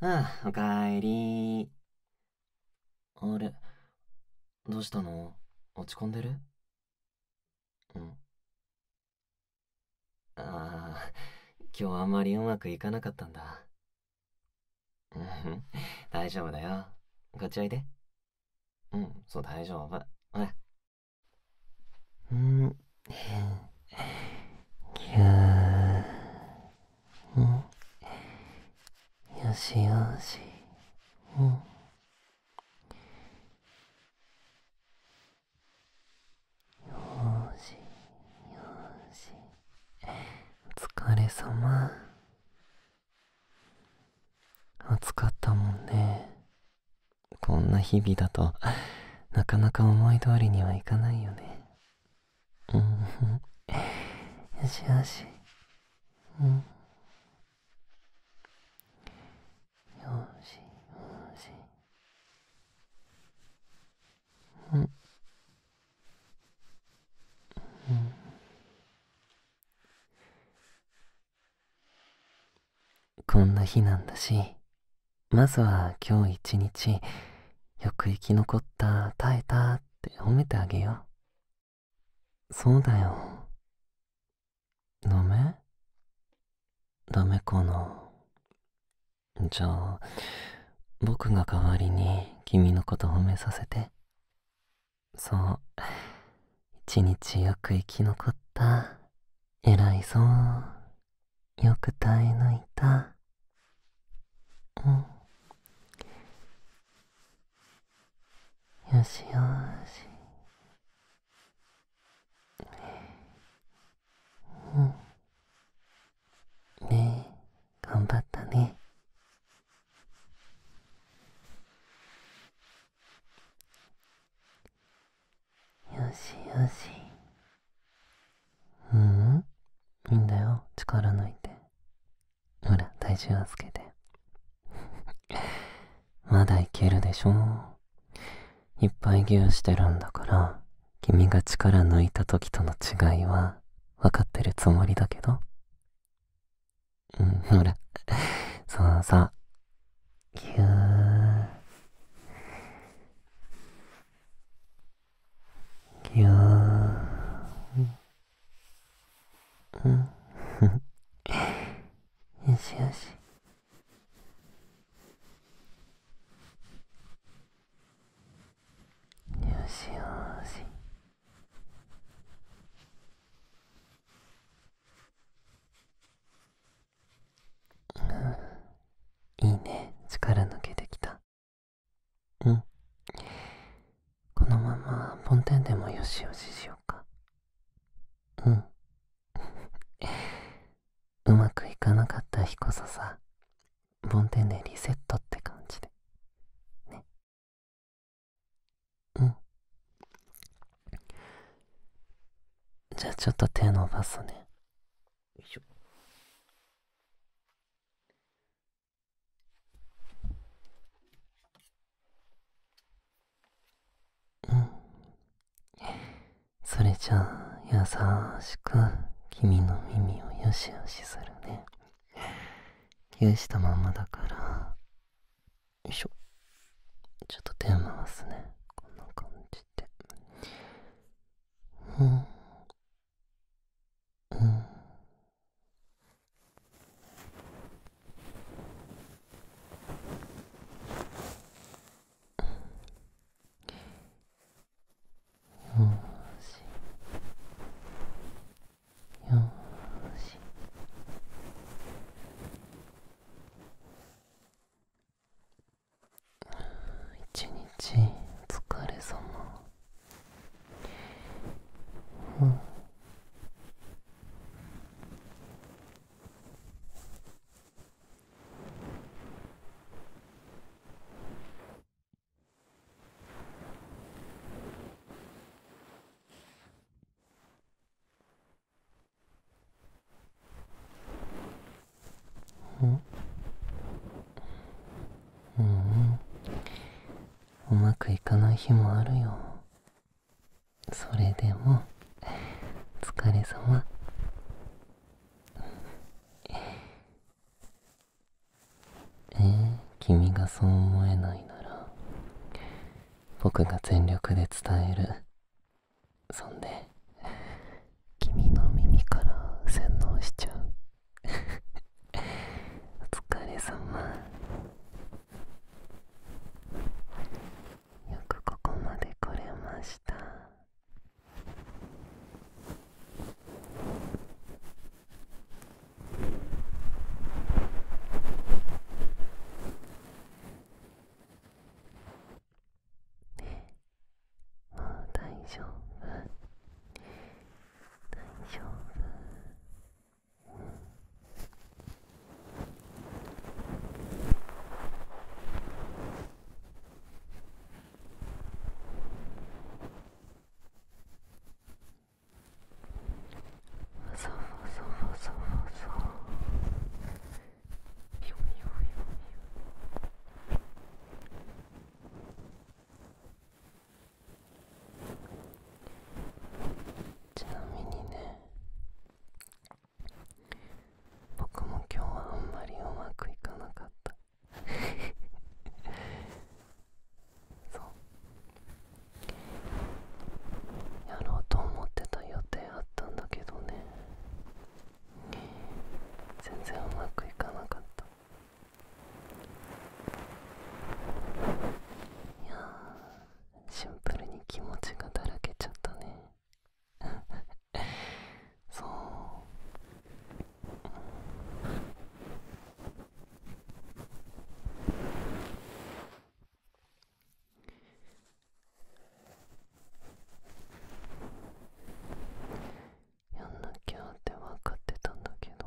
ああ、おかえりあれ、どうしたの落ち込んでるうん。ああ、今日あんまりうまくいかなかったんだ。うん、大丈夫だよ。こっちおいで。うん、そう大丈夫。ほら。うん、ぎゅーよしよしうんよしよしお疲れ様暑かったもんねこんな日々だとなかなか思い通りにはいかないよねうんよしよしうんよしよしうんうんこんな日なんだしまずは今日一日、よく生き残った、耐えたって褒めてあげよう。そうだよ。ダメダメかな。じゃあ、僕が代わりに君のこと褒めさせて。そう。一日よく生き残った。偉いぞ。よく耐え抜いたうんよしよしうんねえ頑張ったねよしよしううんいいんだよ力抜いてほら体重はつけて まだいけるでしょいっぱいギューしてるんだから君が力抜いた時との違いは分かってるつもりだけどうんほらそうさぎゅーぎゅーうんよしよしよしよしうん、いいね力抜けてきたうんこのままポンでもよしよししようかうん うまくいかなかった日こそさボンでリセットって感じでねうんじゃあちょっと手伸ばすねよいしょ。うん。それじゃあ、優しく君の耳をよしよしするね。許したままだから、よいしょ。ちょっと手回すね。こんな感じて。うんうんよしよし一日お疲れ様うんうんううん。まくいかない日もあるよそれでもお疲れ様ええ、君がそう思えないなら僕が全力で伝えるそんで君の耳から洗脳しちゃう お疲れ様よくここまで来れましたねえもう大丈夫大丈夫うんフォソフォソフォソフォソちなみにね僕も今日はあんまりうまくいかなかった そうやろうと思ってた予定あったんだけどね全然うまくいかなかったいやシンプルに気持ちがだらけちゃったね そう、うんやんなきゃって分かってたんだけど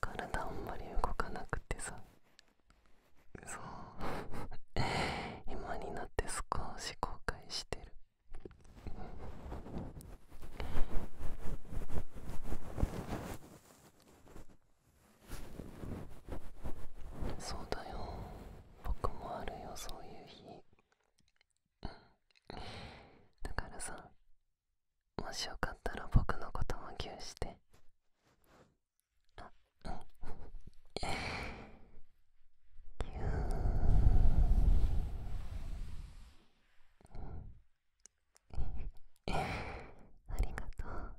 体あんまり動かなくてさそう 今になって少し後悔してるあそうだよ僕もあるよそういう日だからさもしよかったら僕のこともぎゅうしてあうんぎゅーありがとう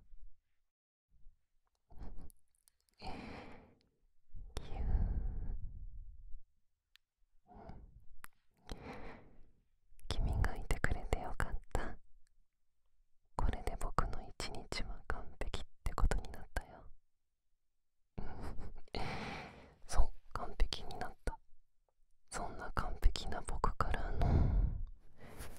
君がいてくれてよかったこれで僕の一日は完璧ってことになったよ そう完璧になったそんな完璧な僕からの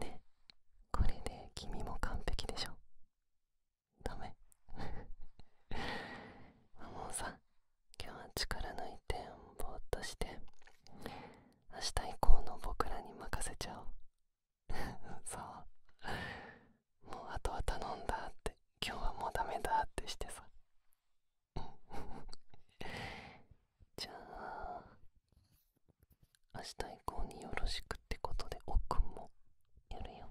ねこれで君も完璧でしょダメ 今日は力抜いてぼーっとして明日以降の僕らに任せちゃおう そうもうあとは頼んだって今日はもうダメだってしてさ じゃあ明日以降によろしくってことで奥もやるよ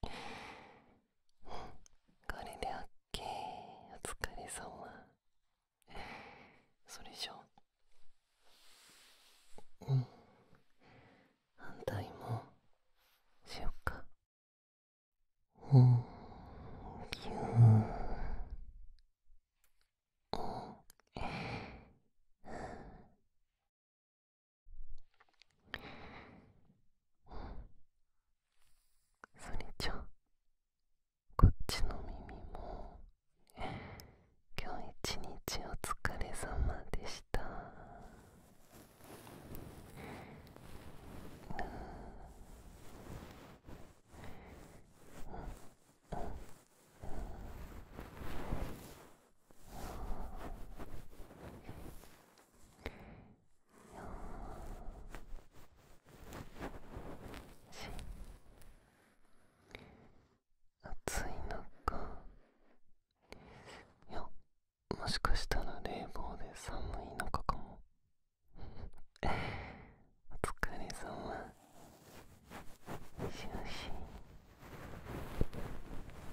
これでオッケお疲れ様それじゃうん反対もしよっかうんぎゅーうんうん。それじゃこっちの耳も今日一日お疲れ様でしたうんうんうん暑い中いやもしかしたら冷房で寒い中かもお疲れ様しよし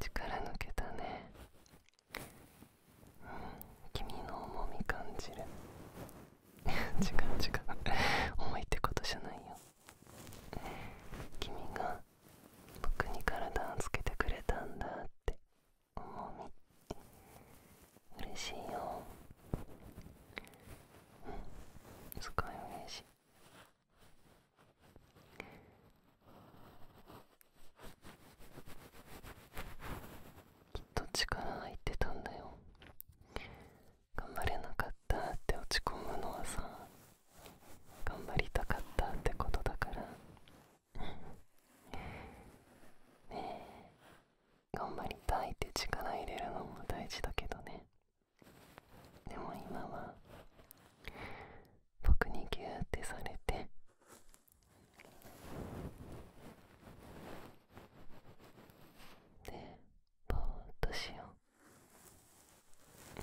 力抜けたね、君の重み感じる 違う違う重いってことじゃないよ君が僕に体をつけてくれたんだってもうめ嬉しいようんすごい嬉しいきっと力入ってたんだよ頑張れなかったって落ち込むのはさ頑張りたかったってことだからねえ頑張りたいって力入れるのも大事だけどねでも今は僕にギューってされてでぼーっとしよう、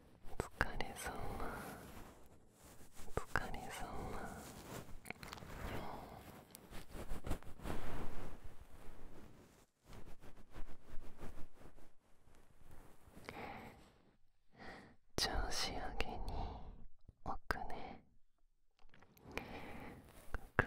疲れ様疲れ様調子上げにおくねくく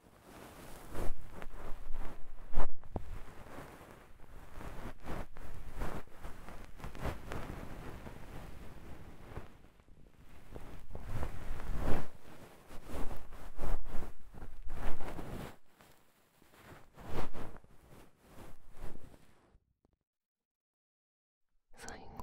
最後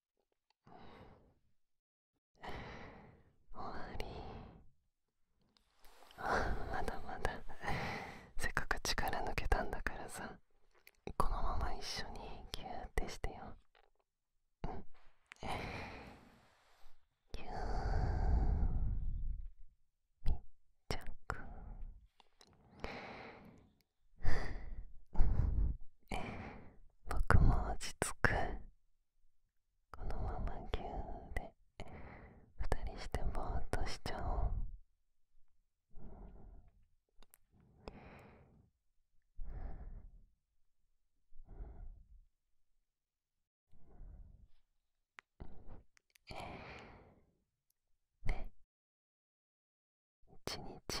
終わりまだまだ せっかく力抜けたんだからさこのまま一緒にギューってしてようんギュー密着 僕も落ち着くこのままぎゅーで二人してぼーっとしちゃおうえ、ね一日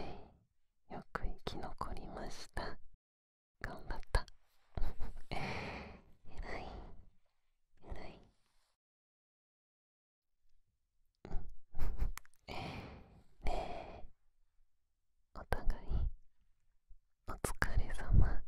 よく生き残りました頑張ったえら いえらいねえお互いお疲れ様